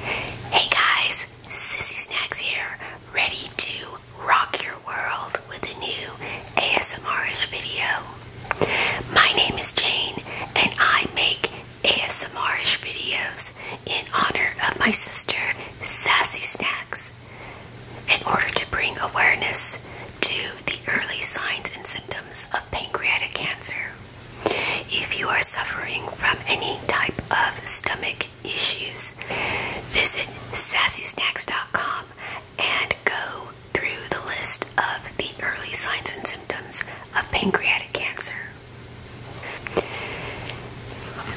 Hey guys, Sassy Snacks here, ready to rock your world with a new ASMRish video. My name is Jane and I make ASMRish videos in honor of my sister Sassy Snacks in order to bring awareness to the early signs and symptoms of pancreatic cancer. If you are suffering from any type of stomach issues, visit sassysnacks.com and go through the list of the early signs and symptoms of pancreatic cancer.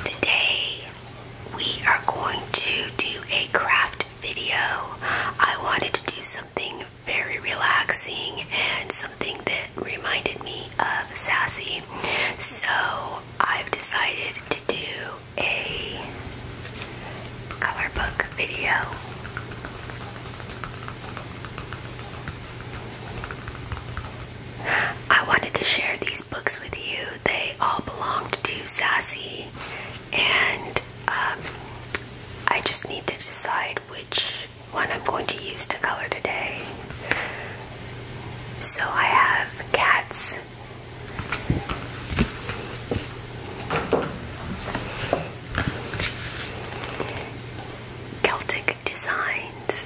Today, we are going to do a craft video. I wanted to do something very relaxing and something that reminded me of Sassy. So I've decided to do a color book video. I wanted to share these books with you. They all belong to Sassy, and um, I just need to decide which one I'm going to use to color today. So I have cats. Celtic Designs.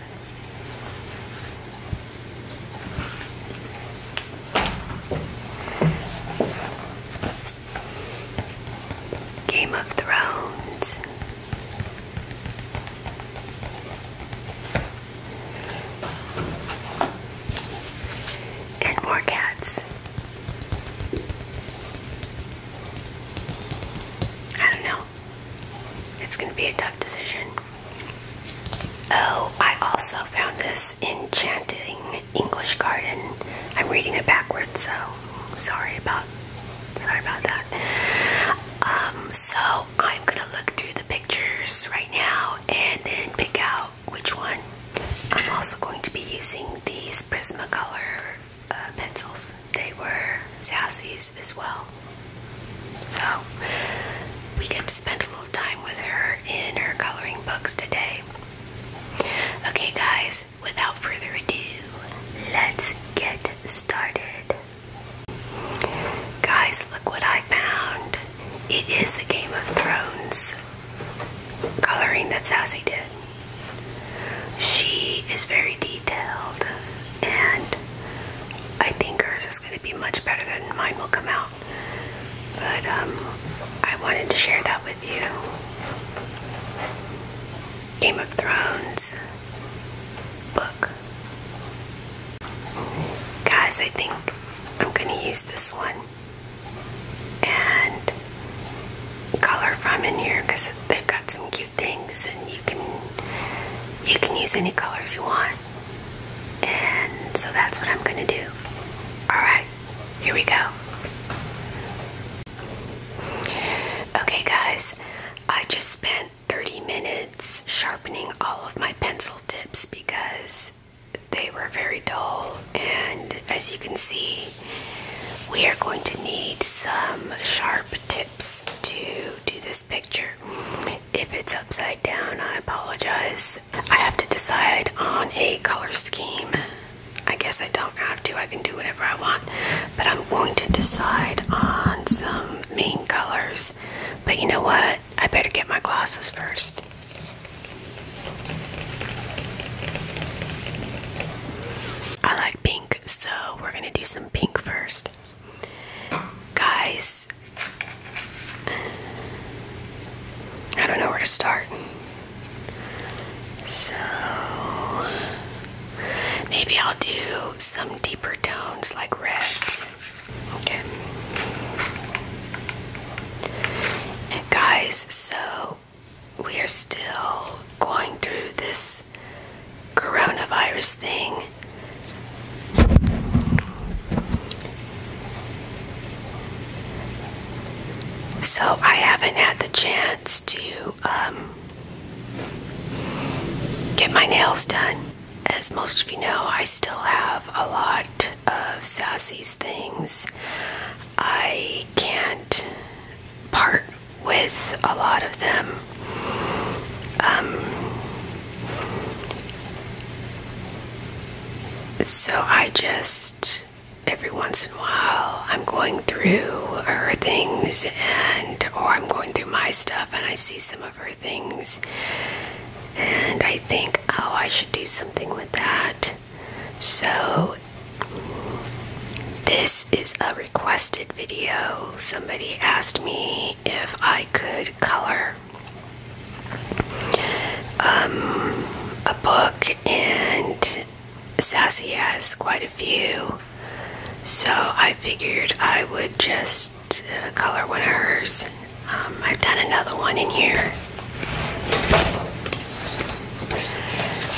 Game of Thrones. And more cats. I don't know. It's going to be a tough decision. Oh, I also found this enchanting English garden. I'm reading it backwards, so sorry about Sorry about that. Um, so I'm gonna look through the pictures right now and then pick out which one. I'm also going to be using these Prismacolor uh, pencils. They were Sassy's as well. So we get to spend a little time with her in her coloring books today. Okay guys, without further ado, let's get started. Guys, look what I found. It is the Game of Thrones coloring that Sassy did. She is very detailed, and I think hers is going to be much better than mine will come out. But um, I wanted to share that with you. Game of Thrones book. Guys, I think I'm going to use this one and color from in here because they've got some cute things and you can you can use any colors you want and so that's what I'm gonna do all right here we go okay guys I just spent 30 minutes sharpening all of my pencil tips because they were very dull. And as you can see, we are going to need some sharp tips to do this picture. If it's upside down, I apologize. I have to decide on a color scheme. I guess I don't have to, I can do whatever I want, but I'm going to decide on some main colors but you know what? I better get my glasses first. I like pink, so we're gonna do some pink first. Guys, I don't know where to start. So maybe I'll do some deeper tones like reds Okay. guys, so we are still going through this coronavirus thing. So I haven't had the chance to um, get my nails done as most of you know, I still have a lot of Sassy's things. I can't part with a lot of them. Um, so I just, every once in a while, I'm going through her things and, or I'm going through my stuff and I see some of her things. And I think, oh, I should do something with that. So, this is a requested video. Somebody asked me if I could color um, a book, and Sassy has quite a few. So, I figured I would just uh, color one of hers. Um, I've done another one in here.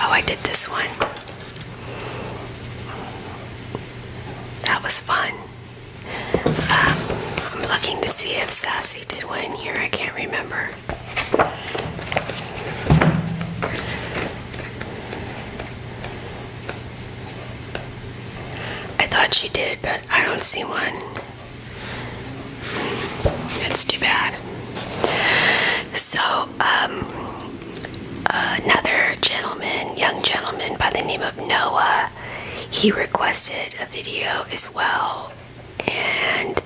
Oh, I did this one. That was fun. Um, I'm looking to see if Sassy did one in here. I can't remember. I thought she did, but I don't see one. That's too bad. So, um, another gentleman, young gentleman by the name of Noah, he requested a video as well, and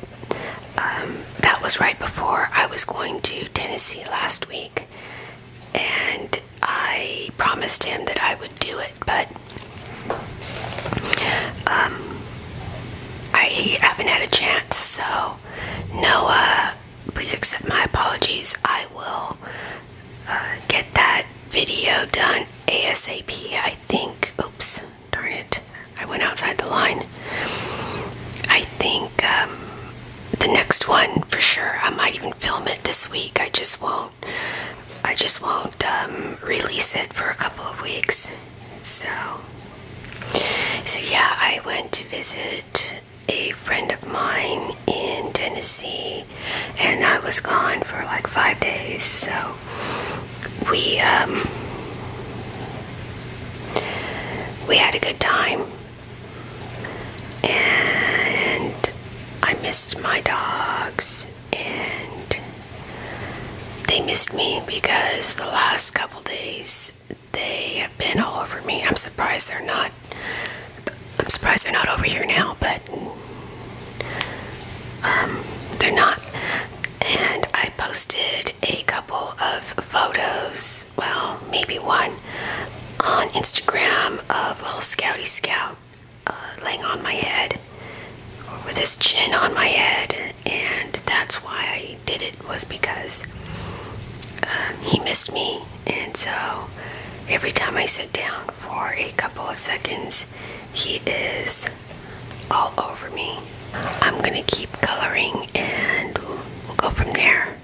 um, that was right before I was going to Tennessee last week, and I promised him that I would do it, but um, I haven't had a chance. So, Noah, please accept my apologies. I will uh, get that video done ASAP. I think. Oops, darn it! I went outside the line. I think um, the next one for sure. I might even film it this week. I just won't I just won't um, release it for a couple of weeks. So, so yeah, I went to visit a friend of mine in Tennessee, and I was gone for like five days. So, we um, we had a good time, and I missed my dogs and they missed me because the last couple days they have been all over me. I'm surprised they're not I'm surprised they're not over here now, but um, they're not. And I posted a couple of photos, well, maybe one, on Instagram of Little Scouty Scout. Uh, laying on my head or with his chin on my head, and that's why I did it was because um, he missed me, and so every time I sit down for a couple of seconds, he is all over me. I'm gonna keep coloring and we'll go from there.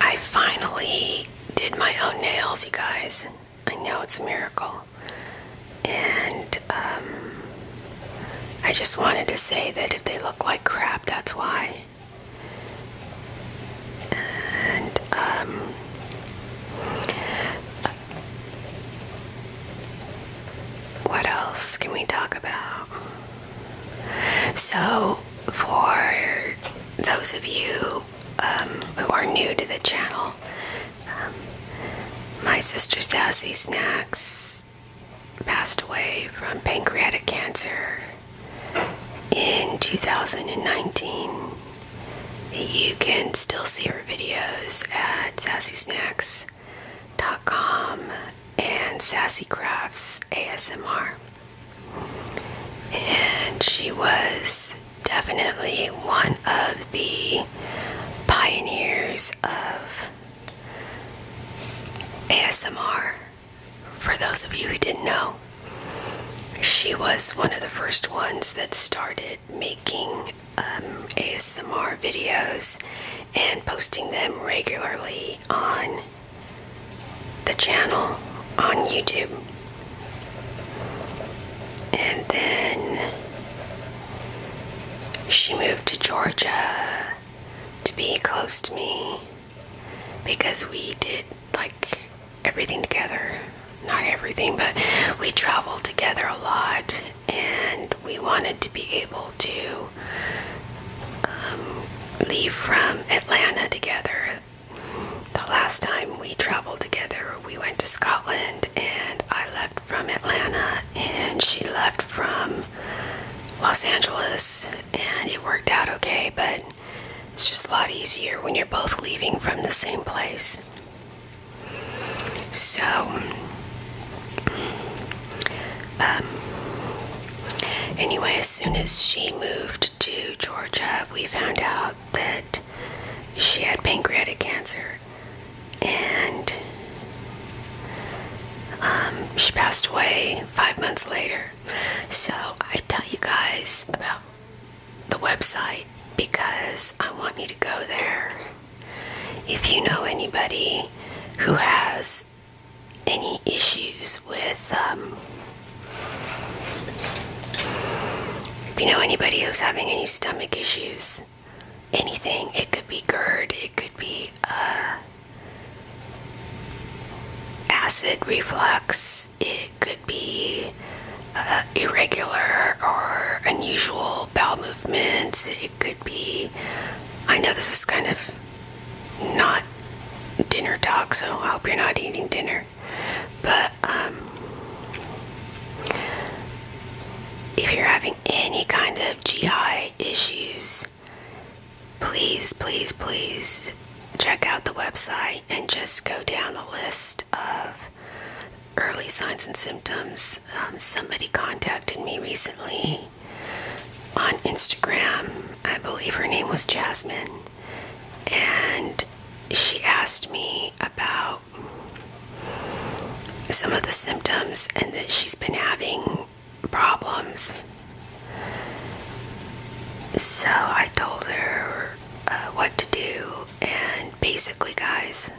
I finally did my own nails, you guys. I know it's a miracle. And um, I just wanted to say that if they look like crap, that's why. And um, what else can we talk about? So, for those of you um, who are new to the channel. Um, my sister Sassy Snacks passed away from pancreatic cancer in 2019. You can still see her videos at sassysnacks.com and Sassy Crafts ASMR. And she was definitely one of the pioneers of ASMR. For those of you who didn't know, she was one of the first ones that started making um, ASMR videos and posting them regularly on the channel on YouTube. And then she moved to Georgia to be close to me because we did like everything together. Not everything, but we traveled together a lot and we wanted to be able to um, leave from Atlanta together the last time we traveled together, we went to Scotland, and I left from Atlanta, and she left from Los Angeles, and it worked out okay, but it's just a lot easier when you're both leaving from the same place. So, um, anyway, as soon as she moved to Georgia, we found out that she had pancreatic cancer and um, she passed away five months later. So I tell you guys about the website because I want you to go there. If you know anybody who has any issues with um, if you know anybody who's having any stomach issues, anything, it could be GERD, it could be uh, acid reflux, it could be uh, irregular or unusual bowel movements, it could be. I know this is kind of not dinner talk, so I hope you're not eating dinner. But um, if you're having any kind of GI issues, please, please, please check out the website and just go down the list of early signs and symptoms. Um, somebody contacted me recently on Instagram. I believe her name was Jasmine. And she asked me about some of the symptoms and that she's been having problems. So I told her uh, what to do, and basically, guys,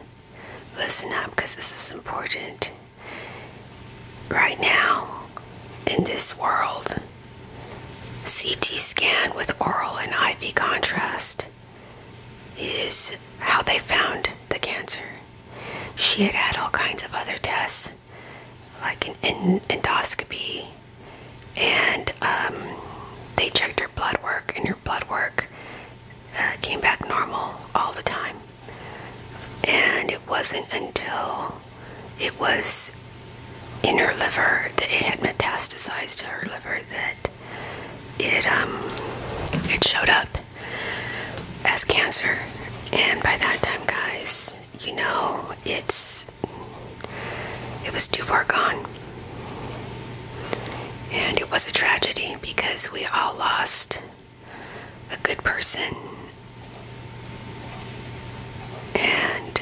listen up because this is important. Right now, in this world, CT scan with oral and IV contrast is how they found the cancer. She had had all kinds of other tests, like an endoscopy, and um, they checked her blood work, and her blood work uh, came back normal all the time. And it wasn't until it was in her liver that it had metastasized to her liver that it um it showed up as cancer and by that time guys you know it's it was too far gone and it was a tragedy because we all lost a good person and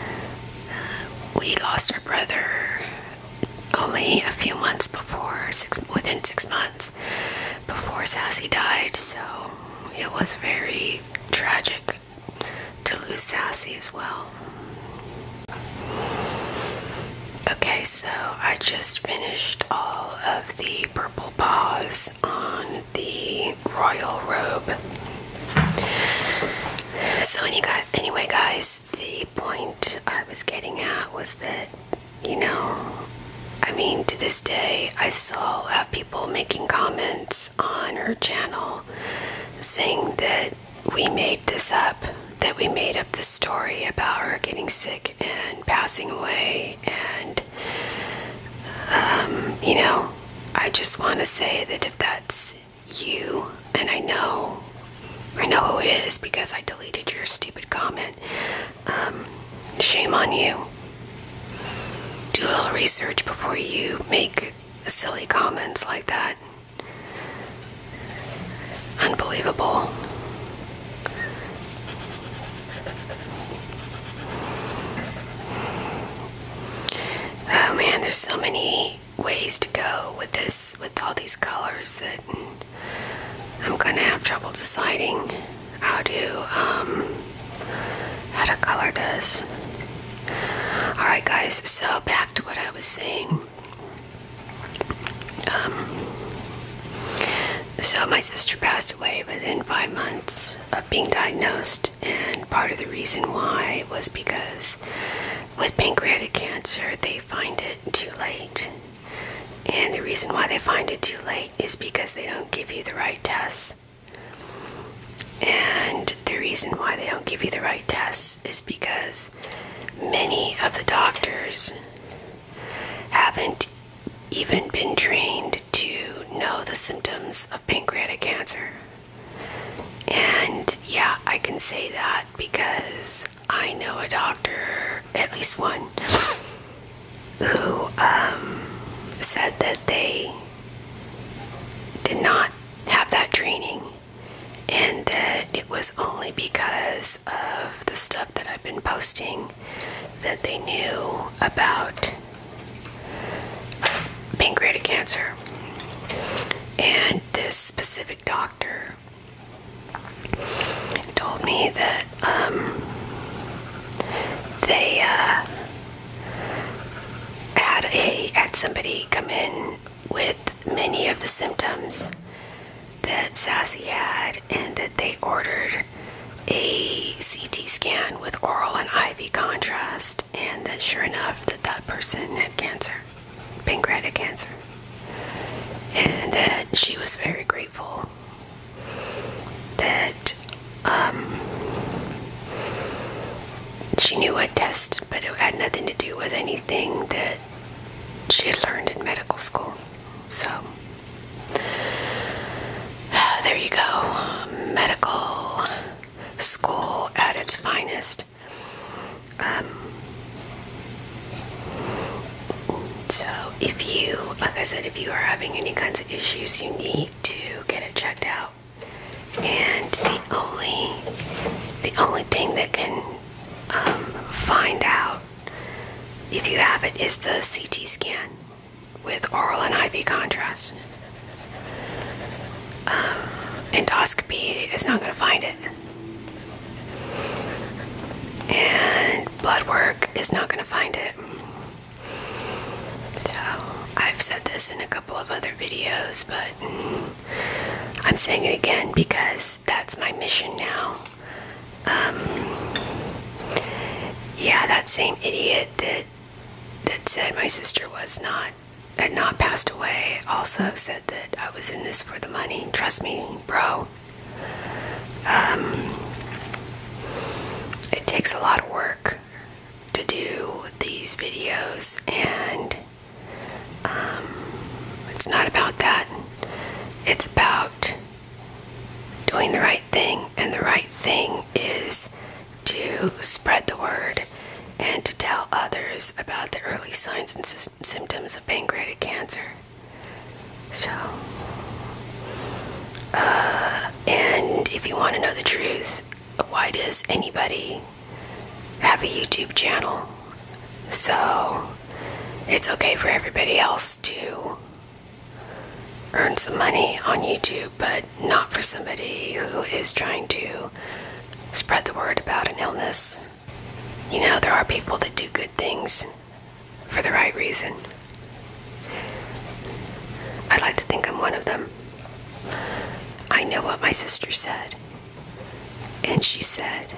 uh, we lost our brother only a few months before within six months before Sassy died, so it was very tragic to lose Sassy as well. Okay, so I just finished all of the purple paws on the royal robe. So any anyway guys, the point I was getting at was that, you know, I mean, to this day, I still have uh, people making comments on her channel saying that we made this up, that we made up the story about her getting sick and passing away. And, um, you know, I just want to say that if that's you, and I know, I know who it is because I deleted your stupid comment. Um, shame on you. Do a little research before you make silly comments like that. Unbelievable. Oh man, there's so many ways to go with this with all these colors that I'm gonna have trouble deciding how to um, how to color this. Alright guys, so back to what I was saying. Um, so my sister passed away within five months of being diagnosed and part of the reason why was because with pancreatic cancer, they find it too late. And the reason why they find it too late is because they don't give you the right tests. And the reason why they don't give you the right tests is because many of the doctors haven't even been trained to know the symptoms of pancreatic cancer. And yeah, I can say that because I know a doctor, at least one, who um, said that they did not have that training and that it was only because of the stuff that I've been posting that they knew about pancreatic cancer. And this specific doctor told me that um, they uh, had a had somebody come in with many of the symptoms that Sassy had, and that they ordered a CT scan with oral and IV contrast, and that sure enough, that that person had cancer pancreatic cancer. And that she was very grateful that um, she knew what test, but it had nothing to do with anything that she had learned in medical school. So, there you go. Medical school at its finest. Um, so if you, like I said, if you are having any kinds of issues, you need to get it checked out. And the only, the only thing that can um, find out if you have it is the CT scan with oral and IV contrast. Um, endoscopy is not going to find it. And blood work is not going to find it. So, I've said this in a couple of other videos, but I'm saying it again because that's my mission now. Um, yeah, that same idiot that that said my sister was not had not passed away also said that I was in this for the money. Trust me, bro. Um, it takes a lot of work to do these videos, and um, it's not about that. It's about doing the right thing, and the right thing is to spread the word and to tell others about the early signs and symptoms pancreatic cancer. So, uh, and if you want to know the truth, why does anybody have a YouTube channel? So, it's okay for everybody else to earn some money on YouTube, but not for somebody who is trying to spread the word about an illness. You know, there are people that do good things for the right reason. i like to think I'm one of them. I know what my sister said. And she said,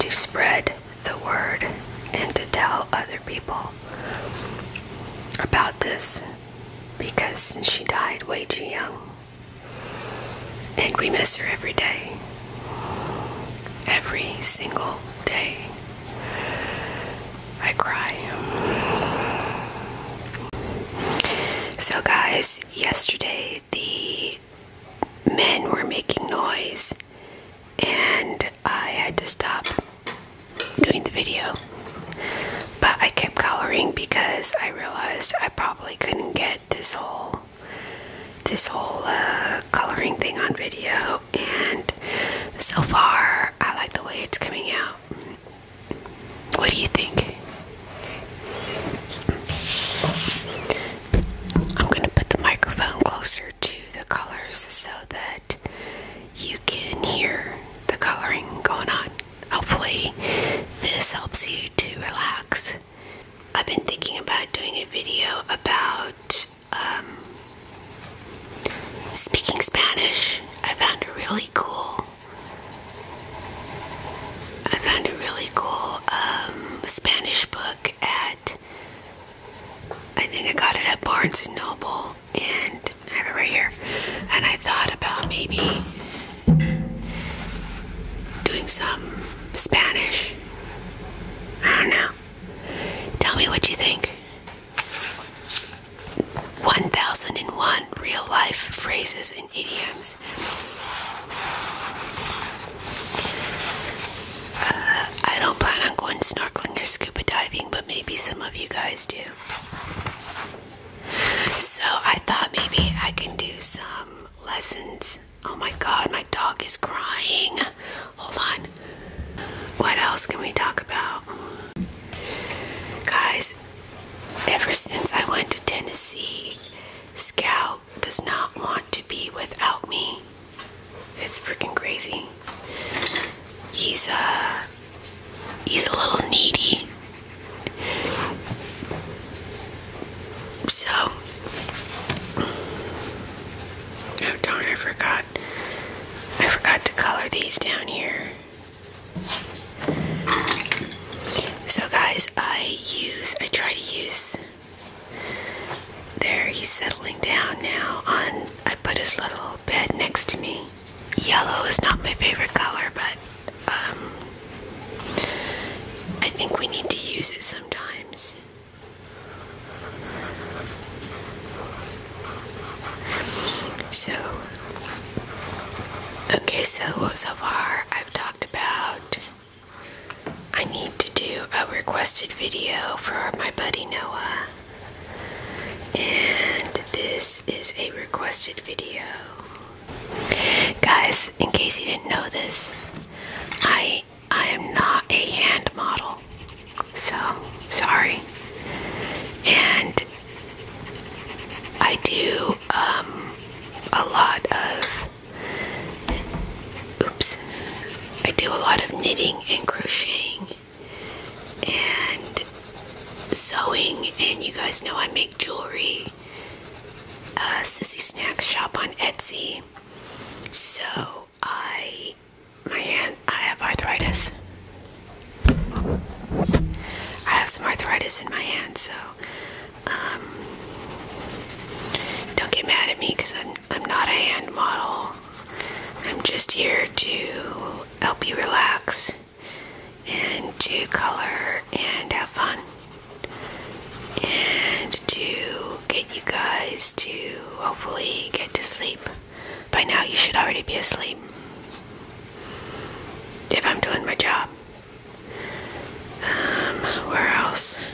to spread the word and to tell other people about this because she died way too young. And we miss her every day. Every single day. I cry. So, guys, yesterday the men were making noise, and I had to stop doing the video. But I kept coloring because I realized I probably couldn't get this whole this whole uh, coloring thing on video and so far I like the way it's coming out. What do you think? I'm going to put the microphone closer to the colors so that you can hear the coloring going on. Hopefully, this helps you to relax I've been thinking about doing a video about um, speaking Spanish. I found it really cool. I found a really cool um, Spanish book at, I think I got it at Barnes & Noble and I have it right here. And I thought about maybe doing some Spanish. I don't know. Tell me what you think. 1001 real life phrases and idioms. Uh, I don't plan on going snorkeling or scuba diving, but maybe some of you guys do. So I thought maybe I can do some lessons Oh my god, my dog is crying. Hold on. What else can we talk about? Guys, ever since I went to Tennessee, Scout does not want to be without me. It's freaking crazy. He's a uh, he's a little needy. So, oh darn, I forgot. I forgot to color these down here. So, guys, I use, I try to use. There, he's settling down now. On, I put his little bed next to me. Yellow is not my favorite color, but um, I think we need to use it sometimes. So, okay, so so far I've talked about I need to do a requested video for my buddy Noah. And this is a requested video. Guys, in case you didn't know this, I I am not a hand model. So, sorry. And I do um, a lot of oops. I do a lot of knitting and crocheting and sewing and you guys know I make jewelry a, sissy snack shop on Etsy. So I, my hand, I have arthritis. I have some arthritis in my hand, so um, don't get mad at me because I'm, I'm not a hand model. I'm just here to help you relax and to color and have fun and to get you guys to hopefully get to sleep. By now, you should already be asleep if I'm doing my job. Um, where else?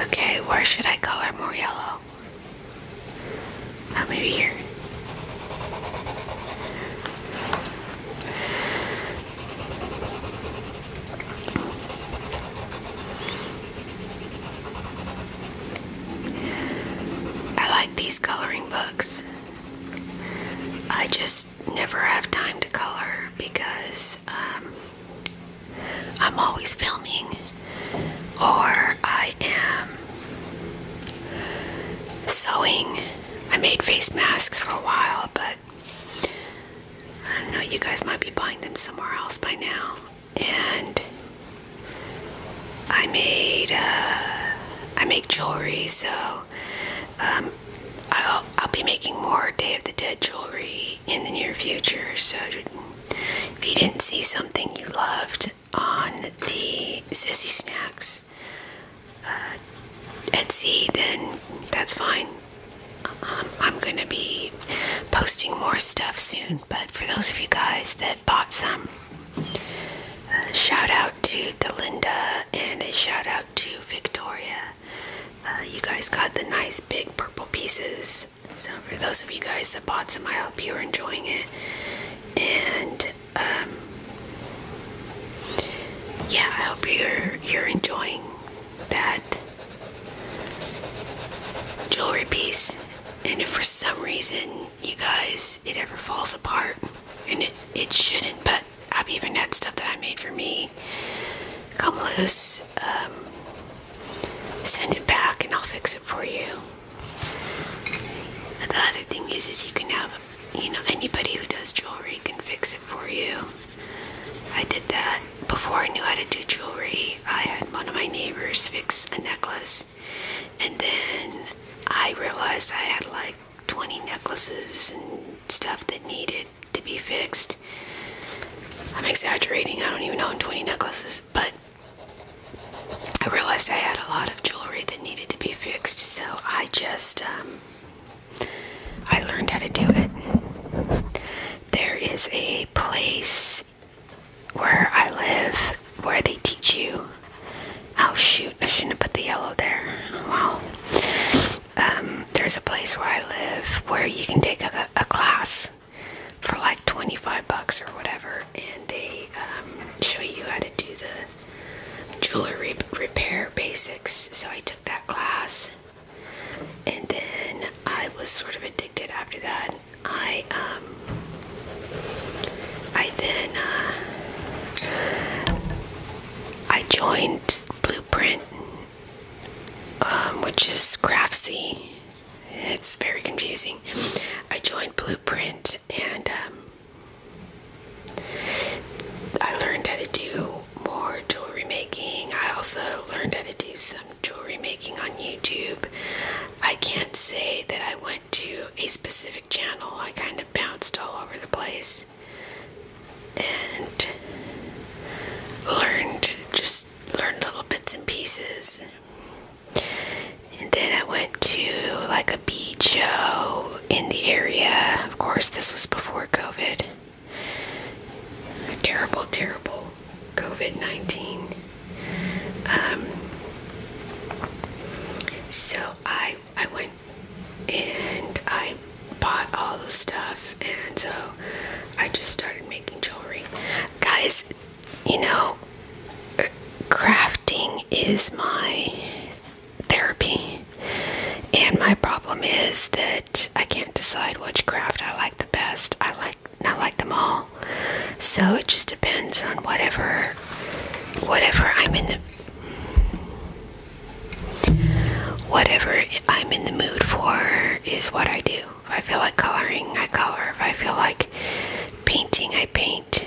Okay, where should I color more yellow? Oh, maybe here. I like these coloring books. I just never have time to color because um, I'm always filming or I am sewing. I made face masks for a while, but I don't know, you guys might be buying them somewhere else by now. And I made uh, I make jewelry, so um, I'll I'll be making more Day of the Dead jewelry in the near future. So if you didn't see something you loved on the Sissy Snacks uh, Etsy, then that's fine. Um, I'm going to be posting more stuff soon, but for those of you guys that bought some, uh, shout out to Delinda and a shout out to Victoria. Uh, you guys got the nice big purple pieces. So, for those of you guys that bought some, I hope you're enjoying it. And, um, yeah, I hope you're, you're enjoying that jewelry piece. And if for some reason you guys it ever falls apart, and it, it shouldn't, but I've even had stuff that I made for me come loose, um, send it back, and I'll fix it for you. the other thing is, is you can have, you know, anybody who does jewelry can fix it for you. I did that before I knew how to do jewelry. I had one of my neighbors fix a necklace, and then I realized I had like 20 necklaces and stuff that needed to be fixed. I'm exaggerating, I don't even own 20 necklaces, but I realized I had a lot of jewelry that needed to be fixed, so I just um, I learned how to do it. There is a place where I live where they teach you. Oh shoot, I shouldn't have put the yellow there. Wow. Um, there's a place where I live where you can take a, class for like 25 bucks or whatever, and they um, show you how to do the jewelry repair basics. So I took that class. And then I was sort of addicted after that. I um I then uh, I joined Blueprint, um, which is Craftsy. It's very confusing. I joined Blueprint and um, I learned how to do more jewelry making. I also learned how to do some jewelry making on YouTube. I can't say that I went to a specific channel, I kind of bounced all over the place and learned just learned little bits and pieces. And then I went to like a beach show in the area. Of course, this was before COVID terrible, terrible COVID 19. Um, so I, I went and I bought all the stuff, and so I just started making jewelry. Guys, you know, crafting is my therapy, and my problem is that I can't decide which craft I like the best. I like I like them all. So it just depends on whatever whatever I'm in the whatever I'm in the mood for is what I do. If I feel like coloring, I color. If I feel like painting, I paint.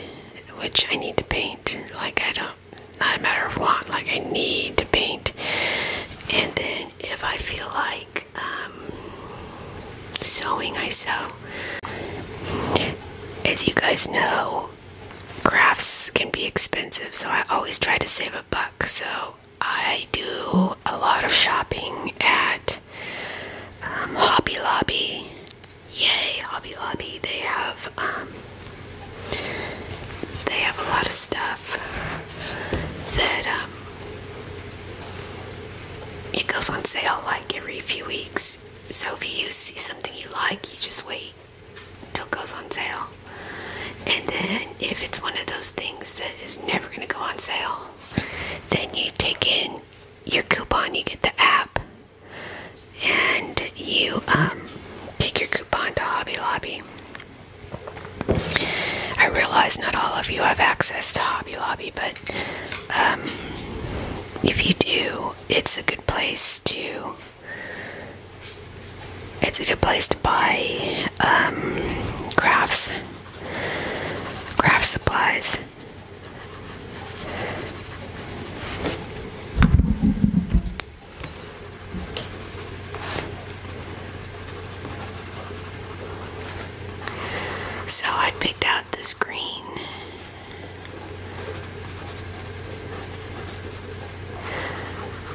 Which I need to paint. Like I don't not a matter of want, like I need to paint. And then if I feel like um, sewing, I sew. As you guys know, crafts can be expensive, so I always try to save a buck. So I do a lot of shopping at um, Hobby Lobby. Yay, Hobby Lobby! They have um, they have a lot of stuff that um, it goes on sale like every few weeks. So if you see something you like, you just wait till it goes on sale. And then if it's one of those things that is never going to go on sale, then you take in your coupon, you get the app, and you um, take your coupon to Hobby Lobby I realize not all of you have access to Hobby Lobby, but um, if you do, it's a good place to. It's a good place to buy um, crafts, craft supplies. So I picked out this green.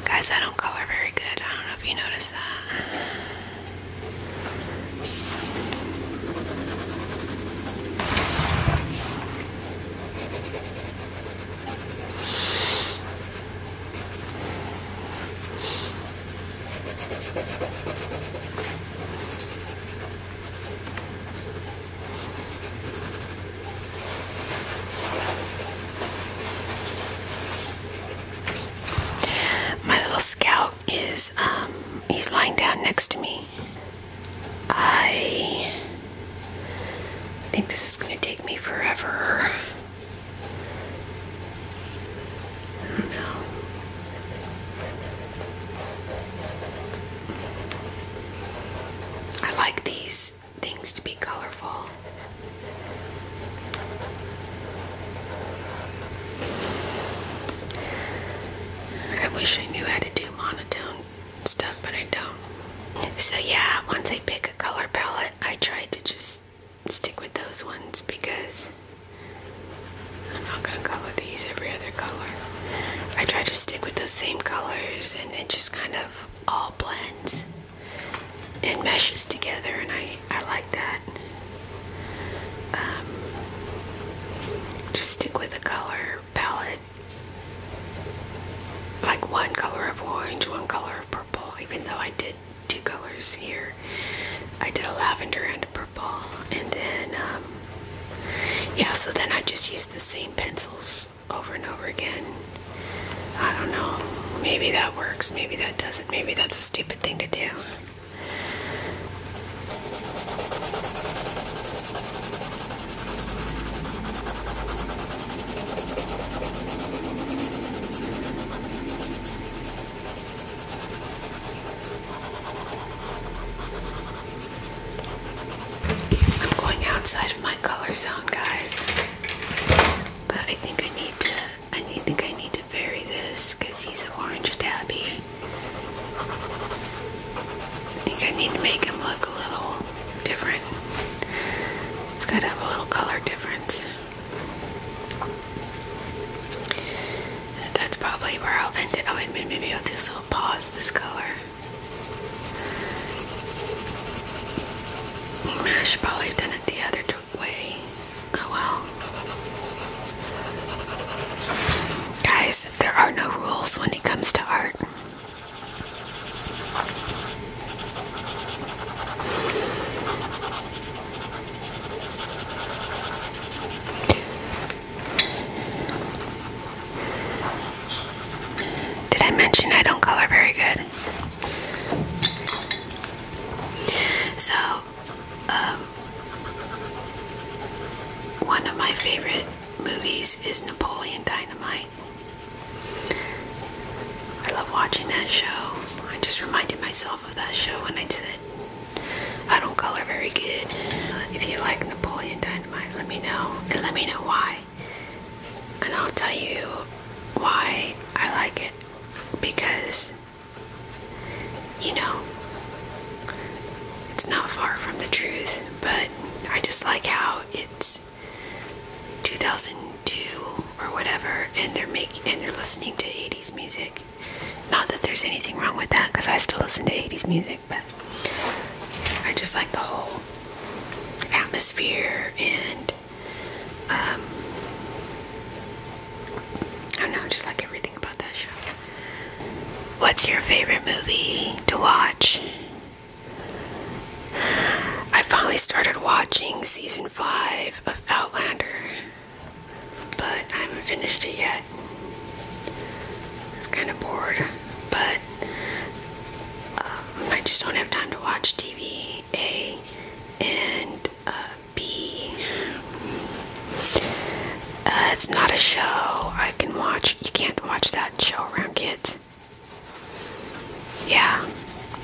Guys, I don't color very good. I don't know if you noticed that. My little scout is, um, he's lying down next to me. I think this is going to take me forever. I like these things to be colorful. I wish I knew how to do monotone stuff, but I don't. So, yeah, once I pick a color palette, I try to just stick with those ones because I'm not gonna color these every other color. I try to stick with those same colors and it just kind of all blends and meshes together and I, I like that. Um, just stick with a color palette. Like one color of orange, one color of purple, even though I did two colors here. I did a lavender and a purple, and then um, yeah. So then I just used the same pencils over and over again. I don't know. Maybe that works. Maybe that doesn't. Maybe that's a stupid thing to do. I'm going outside of my color zone, guys. But I think I need to I need, think I need to vary this because he's an orange tabby. I think I need to make him look a little different. It's got to have a little color difference. That's probably where I'll end it. Oh, and maybe I'll just little pause this color. I should probably have it the other way. Oh well. Guys, there are no rules when it comes to art. Did I mention I don't color very good? So, um, one of my favorite movies is Napoleon Dynamite. I love watching that show. I just reminded myself of that show and I said I don't color very good. If you like Napoleon Dynamite, let me know and let me know why. And I'll tell you why I like it because you know it's not far from the truth, but I just like how it's 2002 or whatever, and they're make and they're listening to 80s music. Not that there's anything wrong with that, because I still listen to 80s music, but I just like the whole atmosphere and um, I don't know, just like everything about that show. What's your favorite movie to watch? I finally started watching season 5 of Outlander but I haven't finished it yet. It's kind of bored, but um, I just don't have time to watch TV, A, and uh, B. Uh, it's not a show I can watch. You can't watch that show around kids. Yeah,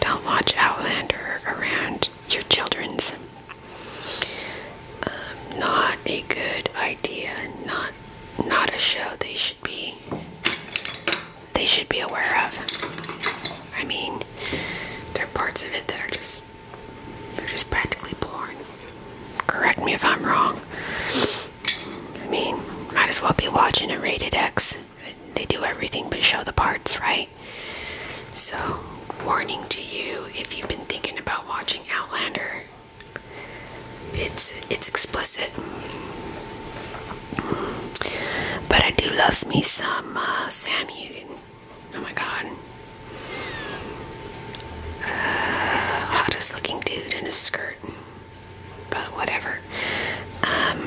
don't watch Outlander around your children's um, not a good idea not not a show they should be they should be aware of I mean there are parts of it that are just they're just practically porn correct me if I'm wrong I mean might as well be watching a rated X they do everything but show the parts right so, warning to you if you've been thinking about watching Outlander. It's it's explicit. But I do loves me some uh, Sam Hugan. Oh my god. Uh, hottest looking dude in a skirt. But whatever. Um,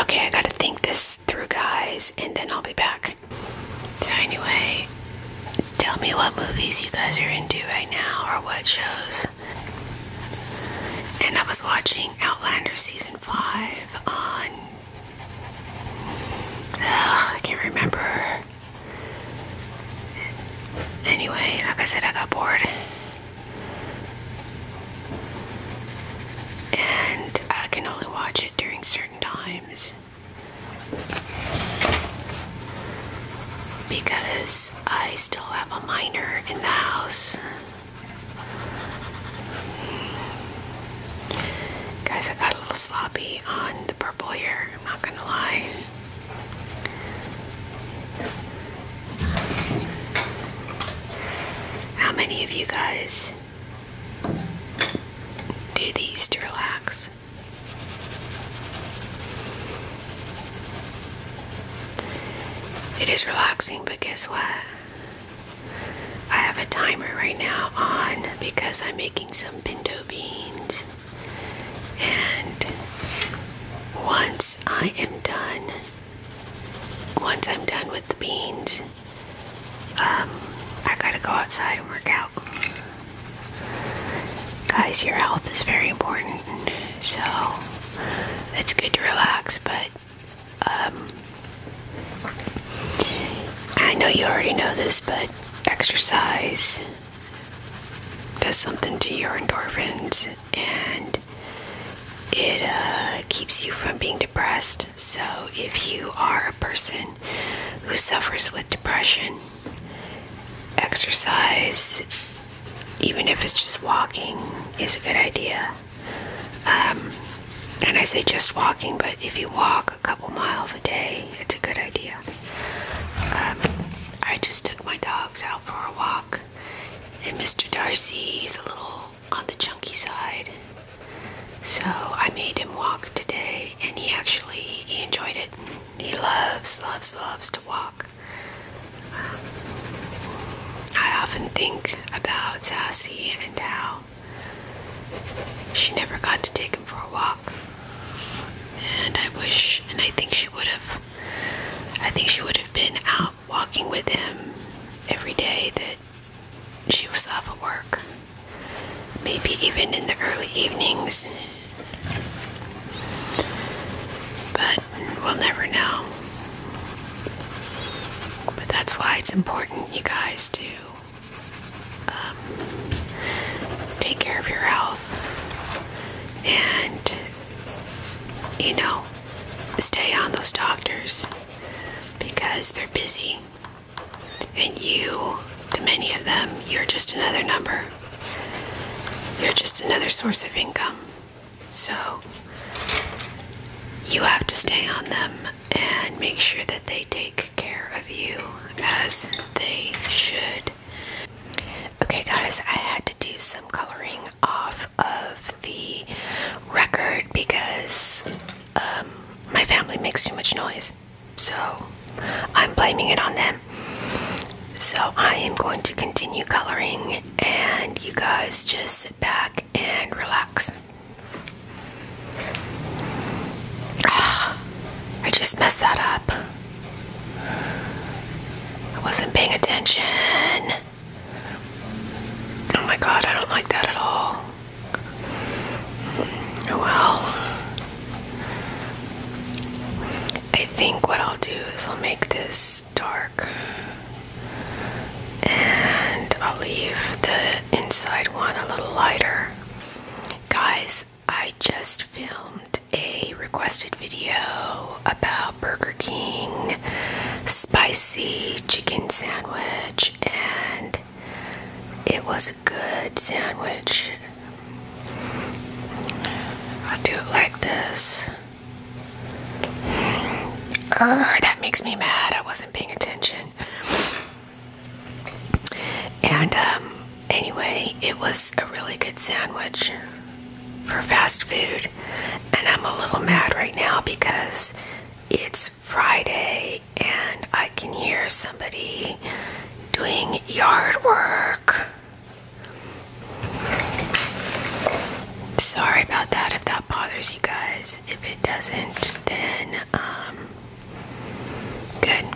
okay, I gotta think this through, guys, and then I'll be back. anyway, tell me what movies you guys are into right now or what shows. And I was watching Outlander Season 5 on. I can't remember. Anyway, like I said, I got bored and I can only watch it during certain times because I still have a minor in the house. Guys, I got a little sloppy on the purple here, I'm not gonna lie. How many of you guys do these to relax. It is relaxing, but guess what? I have a timer right now on because I'm making some pinto beans. And once I am done, once I'm done with the beans, um, I gotta go outside and work out. Guys, your health is very important, so it's good to relax, but um, I know you already know this, but exercise does something to your endorphins and it uh, keeps you from being depressed. So, if you are person who suffers with depression. Exercise, even if it's just walking, is a good idea. Um, and I say just walking, but if you walk a couple miles a day, it's a good idea. Um, I just took my dogs out for a walk, and Mr. Darcy is a little on the chunky side. So I made him walk today and he actually he enjoyed it. He loves, loves, loves to walk. Um, I often think about Sassy and how she never got to take him for a walk. And I wish, and I think she would have, I think she would have been out walking with him every day that she was off at work. Maybe even in the early evenings. But we'll never know. But that's why it's important, you guys, to um, take care of your health and, you know, stay on those doctors because they're busy. And you, to many of them, you're just another number. You're just another source of income. So you have to stay on them and make sure that they take care of you as they should. Okay, guys, I had to do some coloring off of the record because um, my family makes too much noise. So I'm blaming it on them. So I am going to continue coloring, and you guys just sit back and relax. I just messed that up. I wasn't paying attention. Oh my god, I don't like that at all. Well, I think what I'll do is I'll make this dark and I'll leave the inside one a little lighter. Guys, I just filmed a requested video about Burger King spicy chicken sandwich and it was a good sandwich. I do it like this. Urgh, that makes me mad. I wasn't paying attention. And um, anyway, it was a really good sandwich for fast food. And I'm a little mad right now because it's Friday and I can hear somebody doing yard work. Sorry about that if that bothers you guys. If it doesn't, then um good.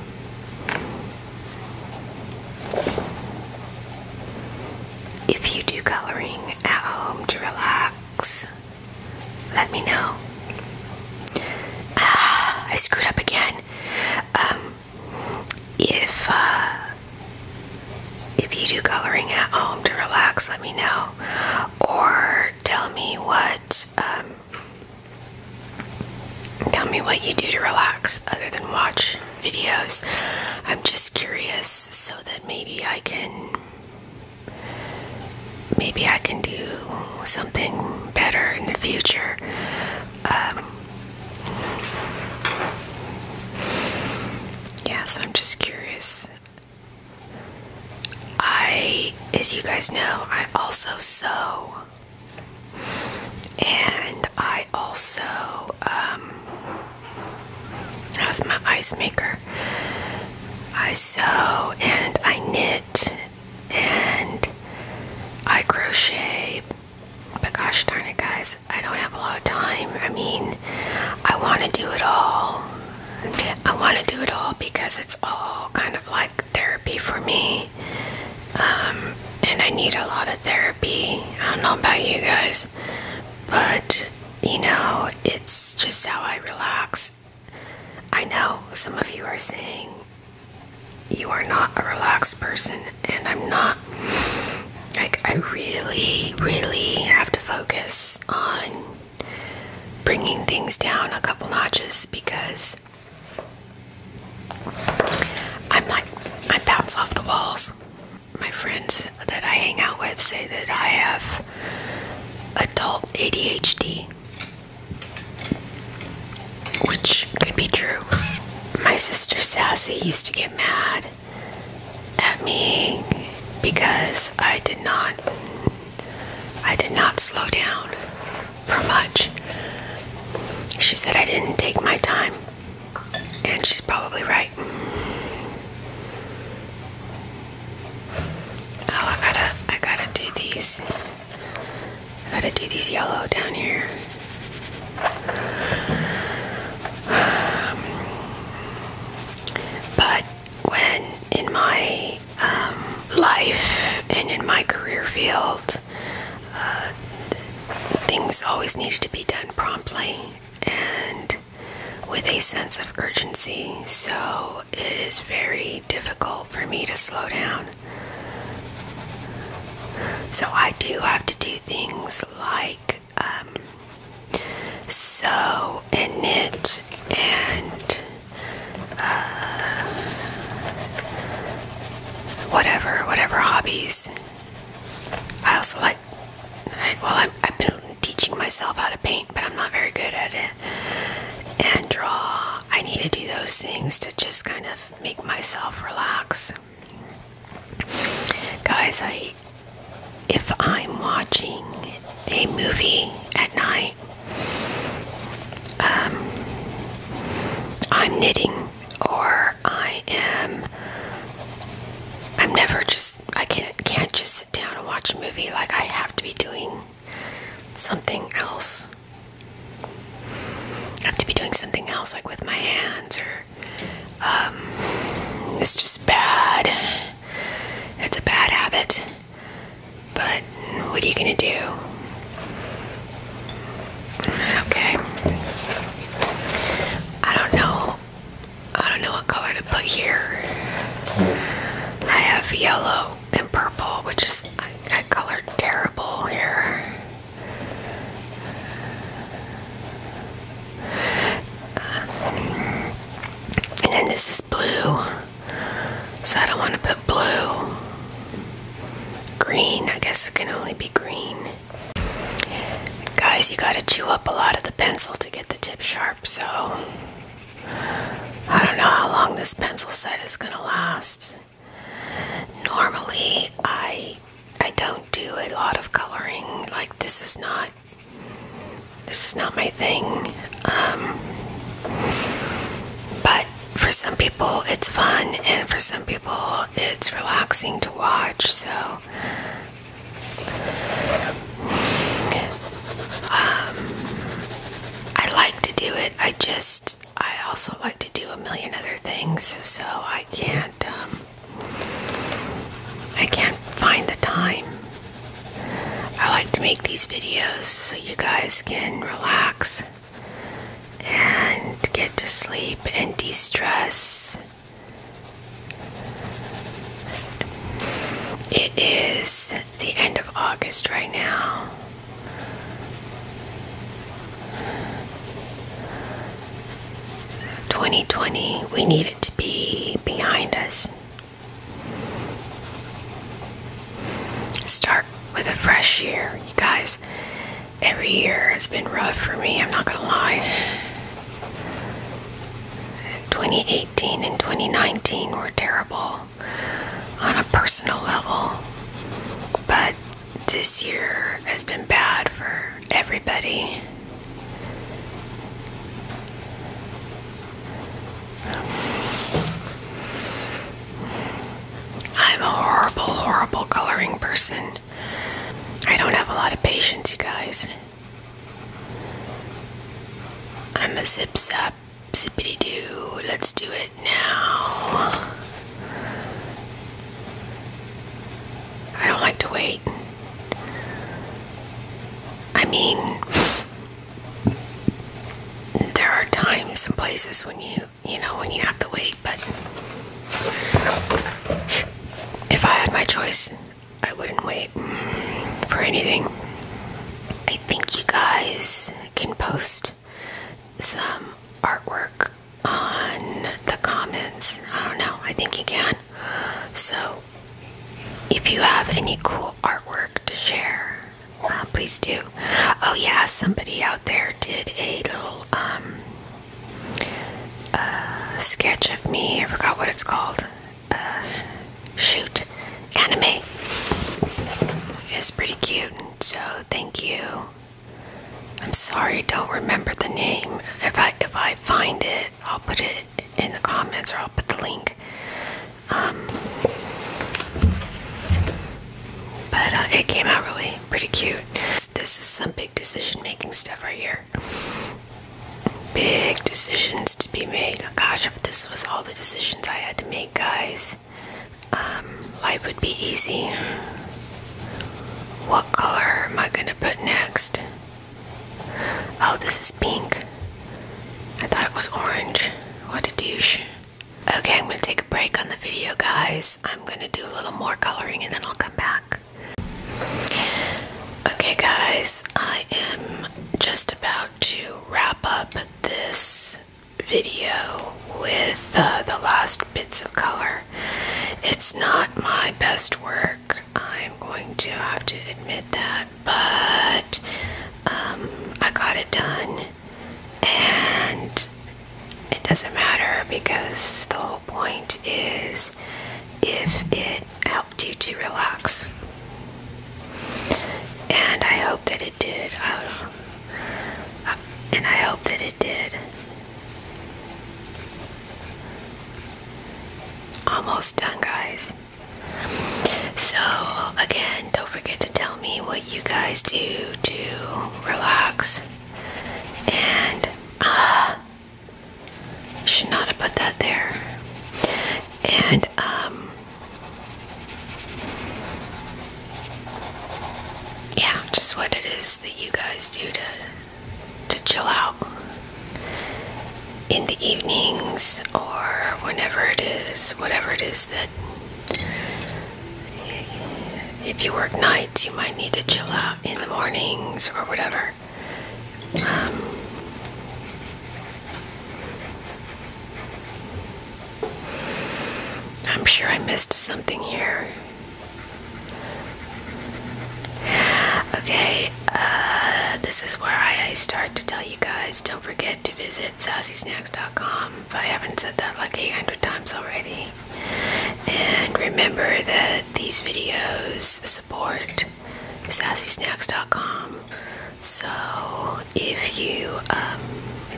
If you do coloring at home to relax, let me know. Ah, I screwed up again. Um, if uh, if you do coloring at home to relax, let me know, or tell me what um, tell me what you do to relax other than watch videos. I'm just curious, so that maybe I can maybe I can do something better in the future. Um, yeah, so I'm just curious. I, as you guys know, I also sew. And I also, um, that's my ice maker. I sew and I knit and I crochet. But gosh darn it, guys, I don't have a lot of time. I mean, I want to do it all. I want to do it all because it's all kind of like therapy for me. Um, and I need a lot of therapy. I don't know about you guys, but you know, it's just how I relax I know some of you are saying you are not a relaxed person, and I'm not. Like, I really, really have to focus on bringing things down a couple notches because I'm like, I bounce off the walls. My friends that I hang out with say that I have adult ADHD. Which could be true. My sister Sassy used to get mad at me because I did not I did not slow down for much. She said I didn't take my time. And she's probably right. Oh, I gotta I gotta do these. I gotta do these yellow down here. But when in my um, life and in my career field, uh, things always needed to be done promptly and with a sense of urgency, so it is very difficult for me to slow down. So I do have to do things like um, sew and knit and uh, whatever, whatever hobbies. I also like, well, I'm, I've been teaching myself how to paint, but I'm not very good at it and draw. I need to do those things to just kind of make myself relax. Guys, I if I'm watching a movie at night, um, I'm knitting or I am I'm never just I can't can't just sit down and watch a movie like I have to be doing something else I have to be doing something else, like with my hands, or um, it's just bad. It's a bad habit. But what are you gonna do? Okay. I don't know. I don't know what color to put here. I have yellow and purple, which is I, I colored terrible here. Uh, and then this is blue, so I don't want to put blue. Green, I guess it can only be green. Guys, you gotta chew up a lot of the pencil to get the tip sharp, so I don't know how long this pencil set is gonna last. Normally, I I don't do a lot of coloring. Like this is not this is not my thing. Um, but for some people, it's fun, and for some people, it's relaxing to watch. So. Um, I like to do it. I just I also like to do a million other things, so I can't um, I can't find the time. I like to make these videos so you guys can relax and get to sleep and de-stress. It is the end of August right now. Twenty twenty, we need it to be behind us. Start with a fresh year, you guys. Every year has been rough for me, I'm not gonna lie. 2018 and 2019 were terrible on a personal level, but this year has been bad for everybody. I'm a horrible, horrible coloring person. I don't have a lot of patience, you guys. I'm a zip zap zippity doo. Let's do it now. I don't like to wait. I mean, there are times and places when you, you know, when you have to wait, but if I had my choice, I wouldn't wait for anything. I think you guys can post some artwork on the comments. I don't know, I think you can. So, if you have any cool artwork to share, uh, please do. Oh, yeah, somebody out there did a little um, uh, sketch of me. I forgot what it's called. Uh, shoot, anime. It's pretty cute. So thank you. I'm sorry, don't remember the name. If I if I find it, I'll put it in the comments or I'll put the link. Um, but uh, it came out really pretty cute. This is some big decision-making stuff right here. Big decisions to be made. Oh, gosh, if this was all the decisions I had to make, guys, um, life would be easy. What color am I gonna put next? Oh, this is pink. I thought it was orange. What a douche. Okay, I'm gonna take a break on the video, guys. I'm gonna do a little more coloring and then I'll come back. Okay, guys, I am just about to wrap up this video with uh, the last bits of color. It's not my best work, I'm going to have to admit that, but um, I got it done and it doesn't matter because the whole point is if it helped you to relax. And I hope that it did and I hope that it did. Almost done, guys. So, again, don't forget to tell me what you guys do to relax. And, uh, should not have put that there. And, um, yeah, just what it is that you guys do to to chill out in the evenings or whenever it is, whatever it is that if you work nights, you might need to chill out in the mornings or whatever. Um, I'm sure I missed something here. Okay, uh, this is where I start to tell you guys don't forget to visit sassysnacks.com if I haven't said that like 800 times already. And remember that these videos support sassysnacks.com. So if you, um,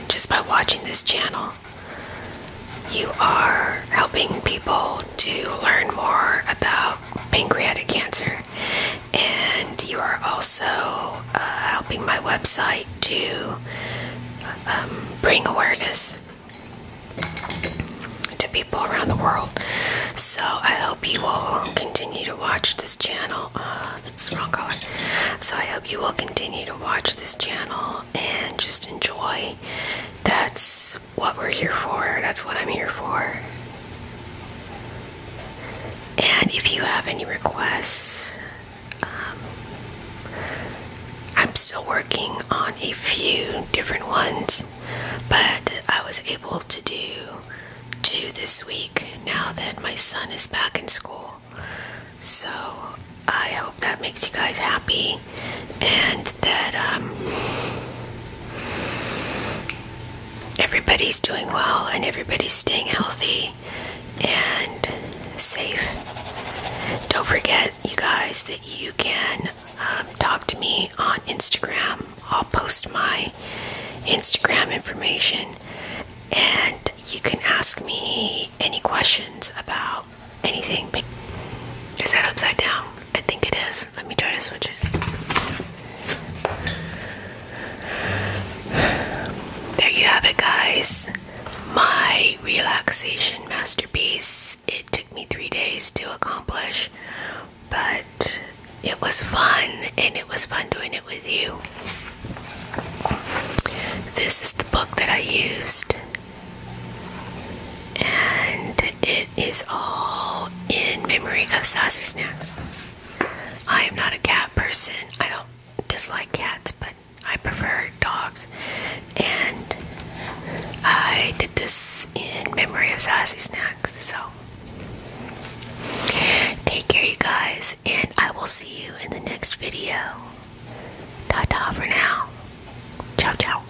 just by watching this channel, you are helping people to learn more about pancreatic cancer, and you are also uh, helping my website to um, bring awareness to people around the world. So I hope you will continue to watch this channel. Ah, that's wrong color. So I hope you will continue to watch this channel and just enjoy. That's what we're here for. That's what I'm here for. And if you have any requests, um, I'm still working on a few different ones, but I was able to do two this week now that my son is back in school. So I hope that makes you guys happy and that um, everybody's doing well and everybody's staying healthy and safe. Don't forget, you guys, that you can um, talk to me on Instagram. I'll post my Instagram information and you can ask me any questions about anything Is that upside down? I think it is. Let me try to switch it. There you have it, guys. My relaxation masterpiece. It took me three days to accomplish, but it was fun and it was fun doing it with you. This is the book that I used and it is all in memory of sassy snacks i am not a cat person i don't dislike cats but i prefer dogs and i did this in memory of sassy snacks so take care you guys and i will see you in the next video Ta ta for now. Ciao, ciao.